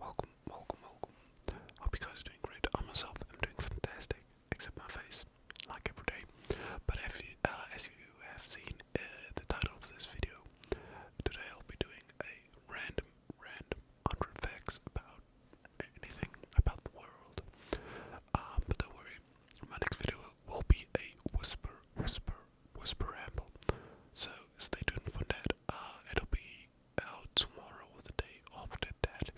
Welcome, welcome, welcome. Hope you guys are doing great. I myself am doing fantastic, except my face, like every day. But uh, as you have seen uh, the title of this video, today I'll be doing a random, random 100 facts about anything about the world. Um, but don't worry, my next video will be a whisper, whisper, whisper ramble. So stay tuned for that. Uh, it'll be tomorrow or the day after that.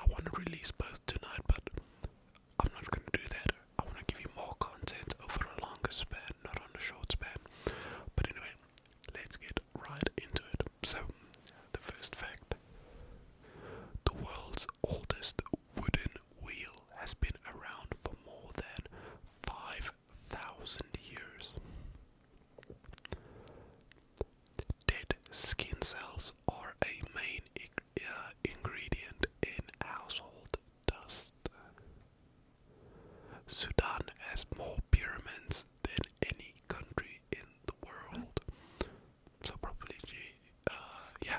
I want to release both tonight, but I'm not going to do that. I want to give you more content over a longer span, not on a short span. But anyway, let's get right into it. So, the first fact the world's oldest wooden wheel has been around for more than 5 thousand years. Dead skin cells are a main uh, ingredient in household dust. Sudan has more pyramids than any country in the world. So probably, uh, yeah,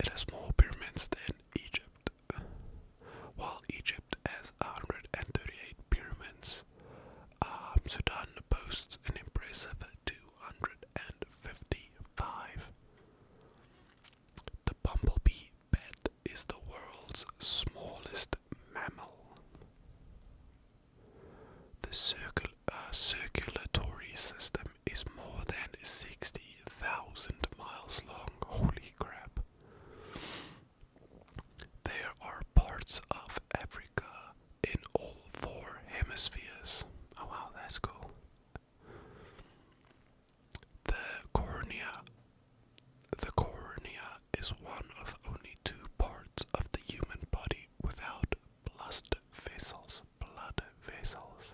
it has more pyramids than Egypt while Egypt has 138 pyramids, um, Sudan boasts an impressive 255. The bumblebee bat is the world's smallest mammal. The uh, circulatory system is more than 60,000 miles long. Holy crap. There are parts of Africa in all four hemispheres. Oh wow, that's cool. The cornea. The cornea is one of only two parts of the human body without blood vessels. Blood vessels.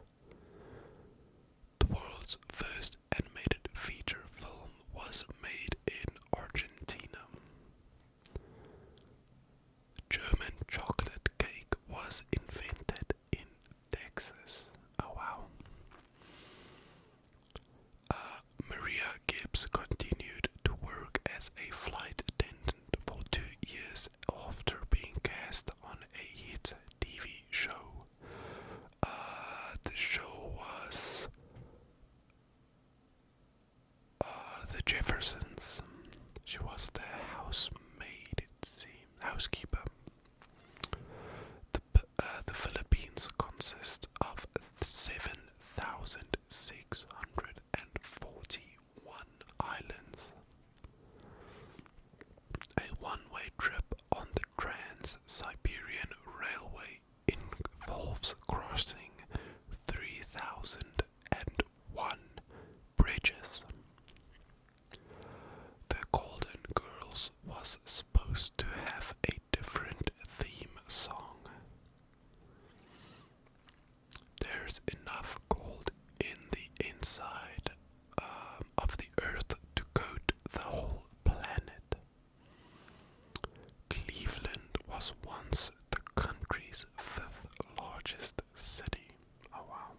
The world's first animated feature film was made in Argentina. German chocolate cake was invented in Texas. Oh wow. Uh, Maria Gibbs continued to work as a flight attendant for two years after being cast on a hit TV show uh, the show was uh, The Jeffersons. She was the housemaid, it seemed, housekeeper. The, uh, Philippines consist of 7,641 islands. A one way trip on the Trans Siberian Railway involves crossing 3001 bridges. The Golden Girls was supposed to have a different theme song. There's enough gold in the inside um, of the Earth to coat the whole planet. Cleveland was once the country's fifth largest city. Oh wow.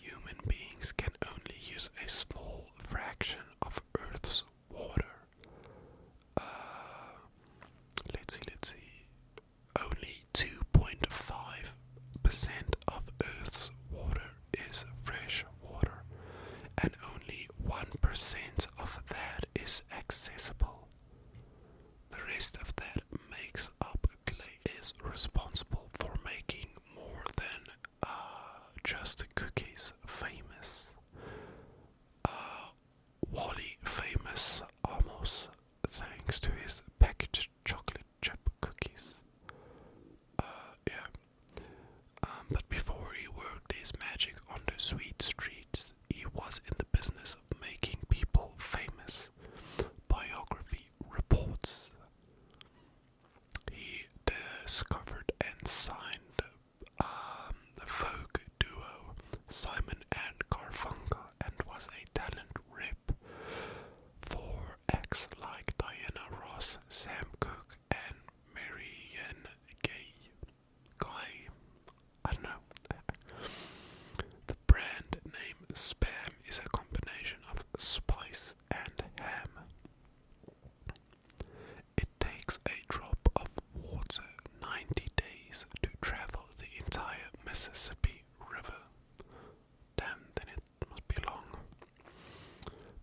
Human beings can only use a small fraction of Earth's water. Uh, let's see, let's see. Only 2.5% of Earth's water is fresh water, and only 1% of that is accessible. The rest of that makes up clay is responsible for making more than uh, just cookies famous. Uh, Wally famous almost thanks to his packaged chocolate chip cookies. Uh, yeah, um, but before he worked his magic on the sweet streets, he was in the business of making people famous. Biography reports. He discovered and signed um, the folk duo Simon and Garfunkel and was a talent rip. 4X like Diana Ross, Sam Cooke, and Marianne Gay. Guy, I don't know. the brand name Spam is a combination of spice and ham. It takes a drop of water 90 days to travel the entire Mississippi River. Damn, then it it must be long.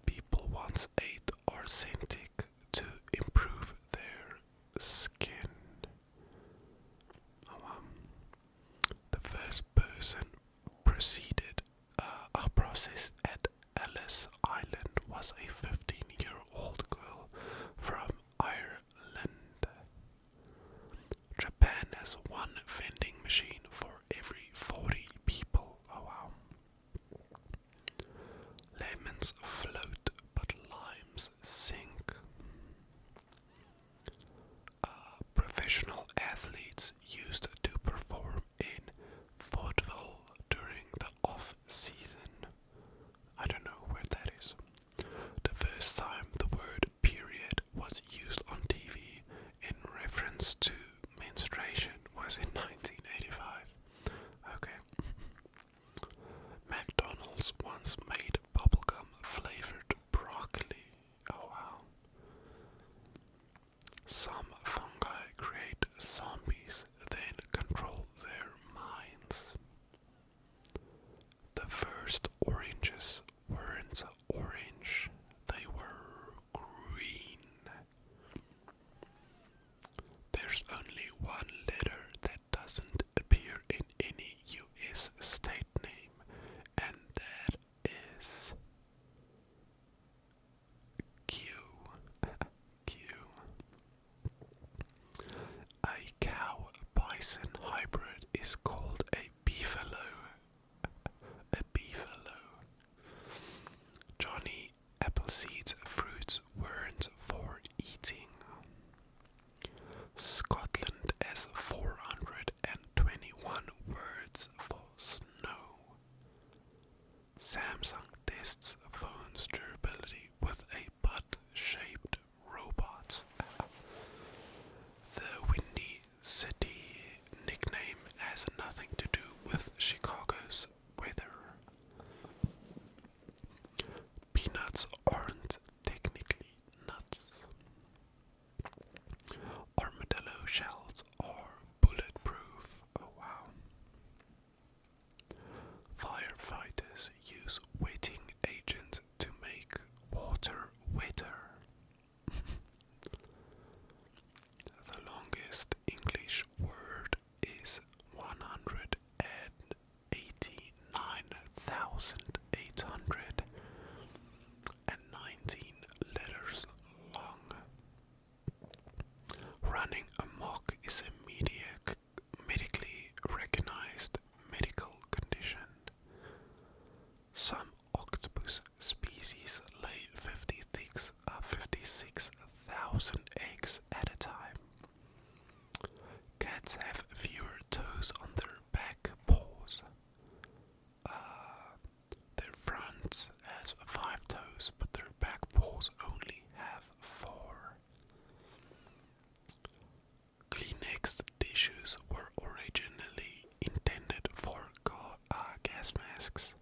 People once ate arsenic to improve their skin. Oh, the first person proceeded uh, a process at Ellis Island was a 15 year old girl from Ireland. Japan has one vending machine for every 40 people. Oh wow. Lemons float, but limes sink. Uh, professional athletes used to perform in vaudeville during the off season. I don't know where that is. The first time the word period was used on TV in reference to menstruation was in 1985. Okay. McDonald's once made bubblegum flavored broccoli. Oh wow. Some fungi create zombies, then control their minds. The first oranges weren't orange, they were green. There's only one letter that doesn't appear in any US state name, and that is Q. Q. A cow bison hybrid is called a beefalo a beefalo. Johnny Appleseed's fruits weren't for eating. Scotland has 421 words for snow. Samsung tests phone's durability with a butt shaped robot. The windy city nickname has nothing to do with Chicago's weather. Peanuts aren't technically nuts. Armadillo shells are bulletproof. Oh wow. Firefighters use wetting agents to make water wetter. the longest English word is 189,819 letters long. Running amok is a medically recognized medical condition. Some octopus species lay 56,000 uh, eggs at a time. Cats have fewer toes on their back paws. Uh, their front has five toes, but their back paws only have four. Kleenex tissues were originally intended for uh, gas masks.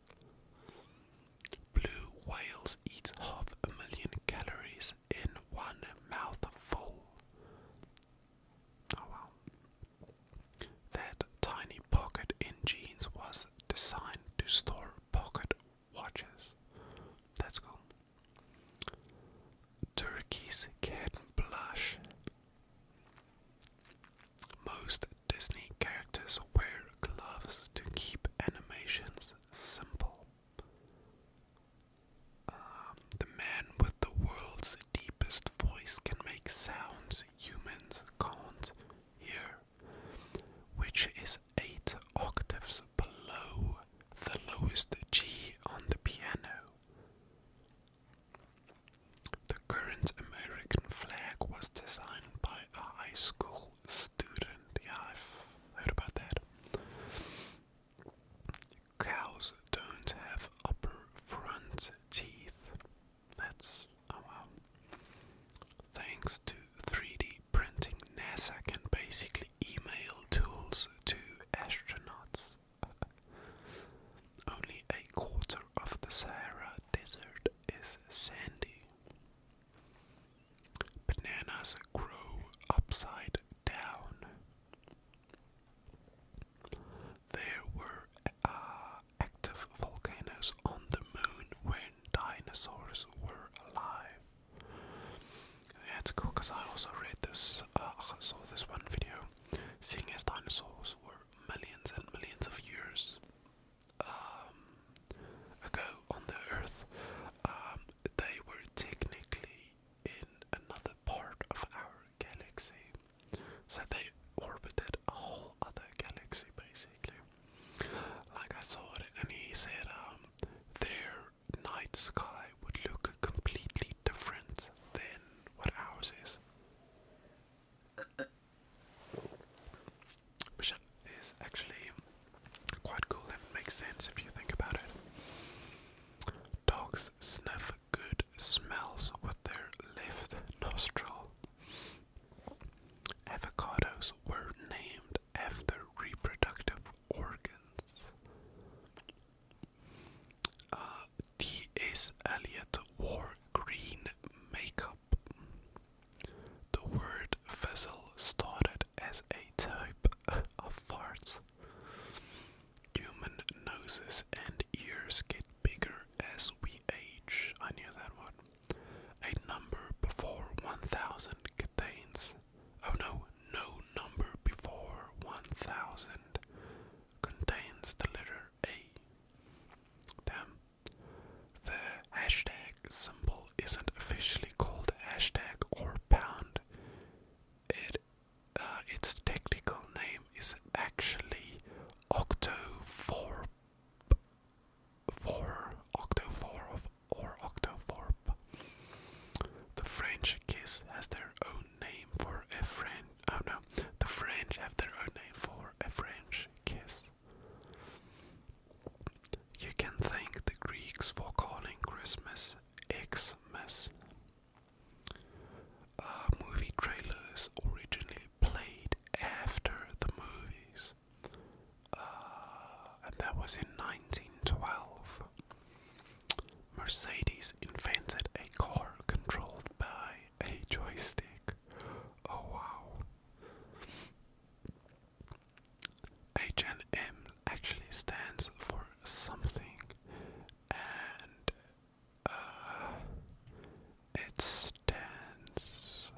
Blue whales eat half a million calories in one mouthful. Oh wow. That tiny pocket in jeans was designed to store pocket watches. That's cool. Turkeys can blush. Most Disney characters wear gloves to keep animations simple. Um, the man with the world's deepest voice can make sounds humans can't hear, which is eight octaves below the lowest G on the piano. The current American flag was designed by a high school student. Yeah, I've heard about that. Cows don't have upper front teeth. That's oh wow. Thanks to 3D printing, NASA can basically email tools to astronauts. Only a quarter of the Sahara Desert is sandy. Bananas grow upside down. There were uh, active volcanoes on the moon when dinosaurs were alive. That's cool because I also read this, uh, I saw this one video. Seeing as dinosaurs were millions and millions of years um, ago on the Earth, um, they were technically in another part of our galaxy. So they orbited a whole other galaxy, basically. Like I saw it, and he said um, their night sky would look completely different than what ours is. Which is actually quite cool and makes sense if you think about it. Dogs sniff good smells with their left nostril. Avocados were named after reproductive organs. Uh, T.S. Eliot wore green makeup. The word vessel started as a type of farts. Human noses and ears get bigger as we age. I knew that one. A number before 1000 contains. Oh no, no number before 1000 contains the letter A. Damn. The hashtag symbol isn't officially called hashtag or pound. It, uh, its technical name is actually octo four, octo four of or octo four. The French kiss has their own name for a French oh no, the French have their own name for a French kiss. You can thank the Greeks for calling Christmas Xmas. movie trailers originally played after the movies, uh, and that was in 1912. Mercedes invented a car controlled by a joystick. Oh wow. H&M actually stands for something and uh, it stands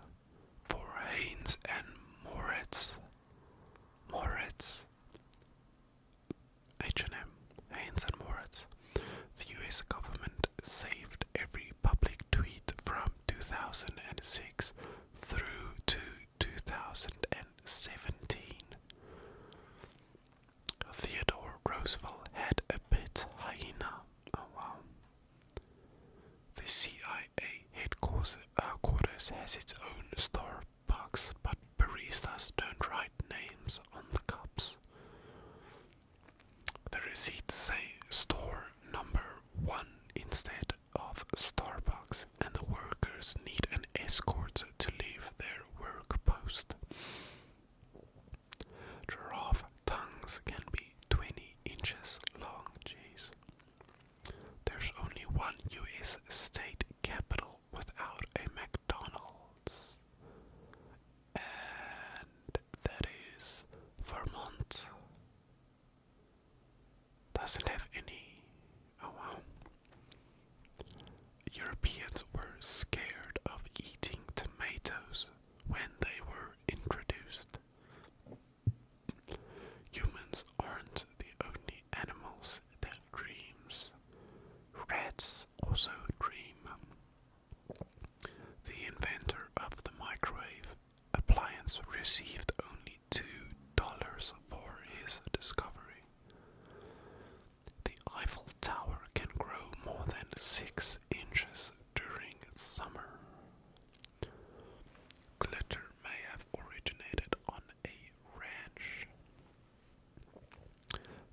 for Haynes and Moritz. Moritz H&M, Haynes and Moritz. The US government saved every public tweet from 2006 through to 2017. Theodore Roosevelt had a pet hyena. Oh wow. The CIA headquarters uh, has its own Starbucks, but baristas don't write names on the cups. The receipts say store number one instead of Starbucks, and the workers need an escort to leave their work post. Giraffe tongues can be 20 inches long, jeez. There's only one US state capital without a McDonald's. And that is Vermont. Doesn't have any. Oh, Europeans were scared of eating tomatoes when they were introduced. Humans aren't the only animals that dreams. Rats also dream. The inventor of the microwave appliance received only $2 for his discovery. The Eiffel Tower can grow more than 6 inches during summer. Glitter may have originated on a ranch.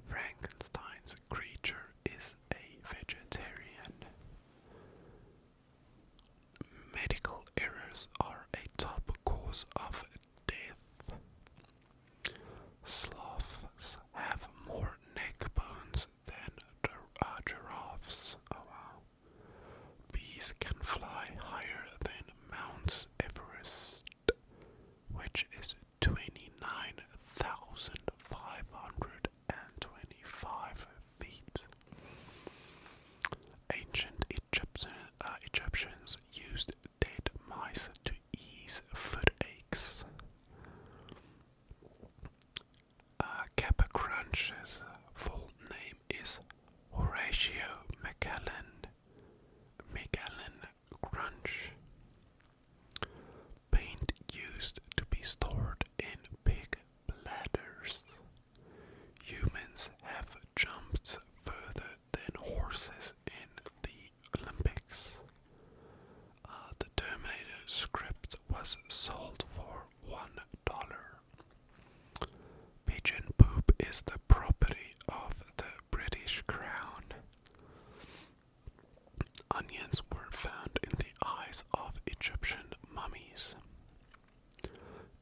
Frankenstein's creature is a vegetarian. Medical errors are a top cause of death. Sloths have more neck bones than uh, giraffes. Oh, Bees can fly higher than Mount Everest, which is 29,525 feet. Ancient Egyptian, uh, Egyptians used dead mice to ease foot aches. Uh, Kappa Crunch's full name is Horatio Macallan. Macallan crunch. Paint used to be stored in pig bladders. Humans have jumped further than horses in the Olympics. Uh, the Terminator script was sold for one dollar. Pigeon poop is the property of the British crown. Onions were found in the eyes of Egyptian mummies.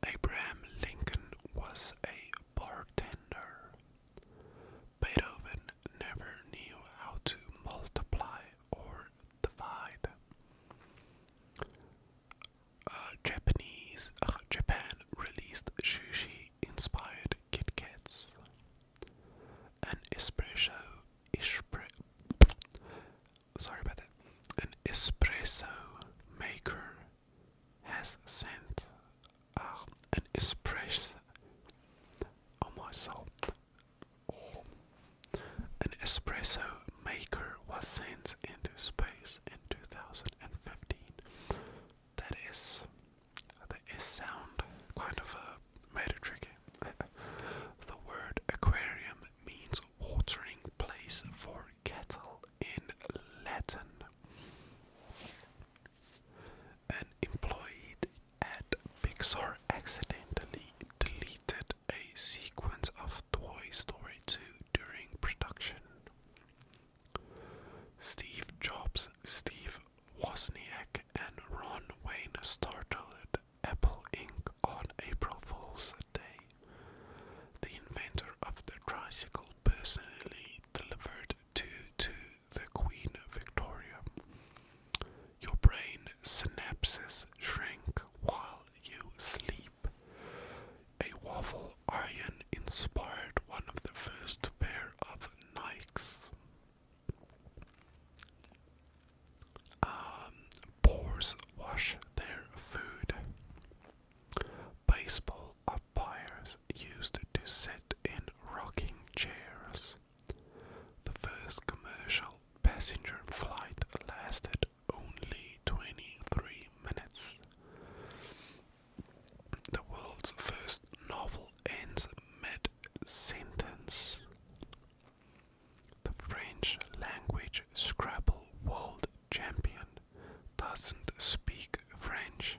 Abraham Lincoln was a bartender. Beethoven never knew how to multiply or divide. Uh, Japanese uh, Japan released sushi inspired Kit Kats. An espresso, sorry about that. An espresso maker has sent ah, an espresso. Oh my soul! An espresso maker was sent into space in 2015. That is his sound kind of uh, made the word aquarium means watering place for cattle in Latin. An employee at Pixar accidentally deleted a sequence of Toy Story 2 during production. Steve Jobs, Steve Wozniak, and Ron Wayne started Apple Inc. on April Fool's Day. The inventor of the tricycle personally delivered two to the Queen Victoria. Your brain synapses shrink while you sleep. A waffle iron inspired one of the first pair of Nikes. boars um, wash their food. Baseball umpires used to sit in rocking chairs. The first commercial passenger flight lasted only 23 minutes. The world's first novel ends mid sentence. The French language Scrabble world champion doesn't speak French.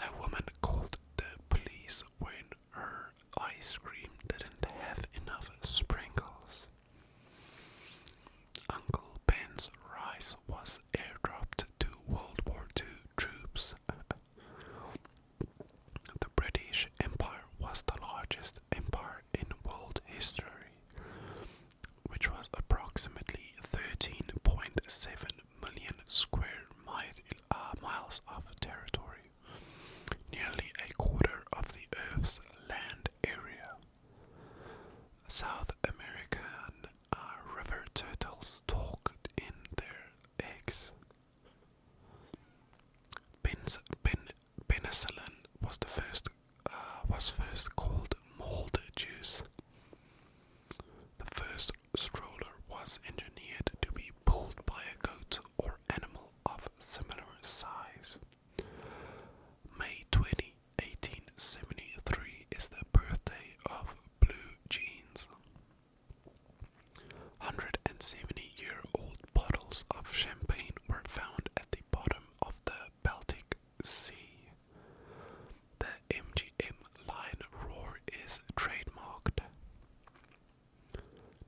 A woman called the police when her ice cream didn't have enough sprinkles. Uncle Ben's rice was airdropped to World War II troops. the British Empire was the largest empire in world history, which was approximately 13.7 million square uh, miles of territory, nearly a quarter of the Earth's land area. South American uh, river turtles talk in their eggs. penicillin was the first uh, was first called mold juice. The first stroller was engineered to be pulled by a goat or animal of similar size. May 20, 1873 is the birthday of blue jeans. 170 year old bottles of champagne were found at the bottom of the Baltic Sea. The MGM line roar is trademarked.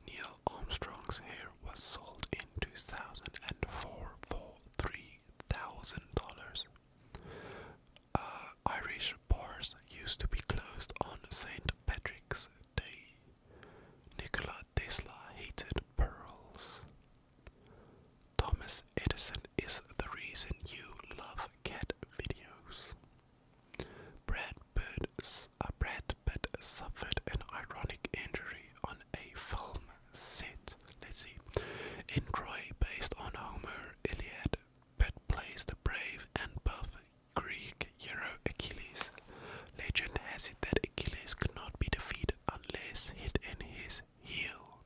Neil Armstrong's hair was sold in 2004 for 3 Thousand dollars uh, Irish bars used to be closed on St. Patrick's Day. Nikola Tesla hated pearls. Thomas Edison is the reason you love cat videos. Brad Pitt, uh, Brad Pitt suffered an ironic injury on a film set, let's see, in Troy based on Homer's Iliad, but plays the brave and buff Greek hero Achilles. Legend has it that Achilles could not be defeated unless hit in his heel.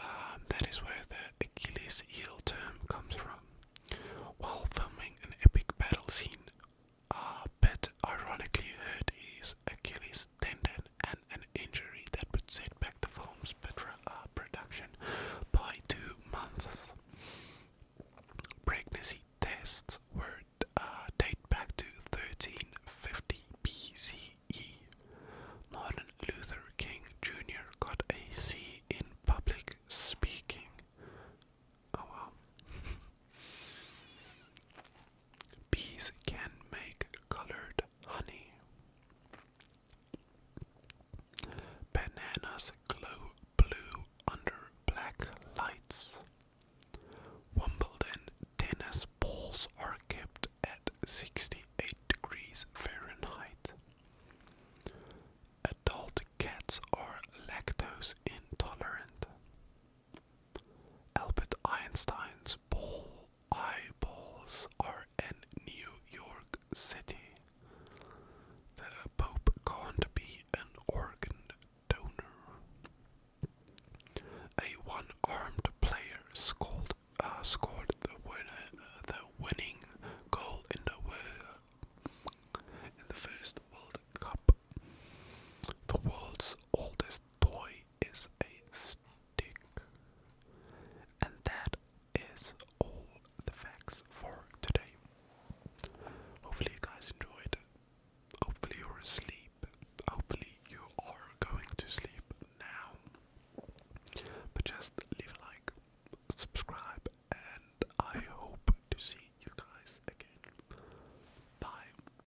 Um, that is where the Achilles heel term comes from. While filming an epic battle scene, Pitt uh, ironically hurt his Achilles tendon and an injury that would set back the film's uh, production by two months. Pregnancy tests were uh, date back to 1350 BCE. Martin Luther King Jr. got a C in public speaking. Oh wow. Bees can make colored honey. Bananas glow blue under black lights. Wimbledon tennis balls are kept at 68 degrees Fahrenheit. Adult cats are lactose intolerant. Albert Einstein's ball eyeballs are in New York City. The Pope can't be an organ donor. A one-armed player scored, uh, uh, the, winning goal in the first World Cup. The world's oldest toy is a stick. And that is all the facts for today. Hopefully, you guys enjoyed. Hopefully, you're asleep. Hopefully, you are going to sleep now. But just leave a like, subscribe, and I hope to see you guys again. Bye.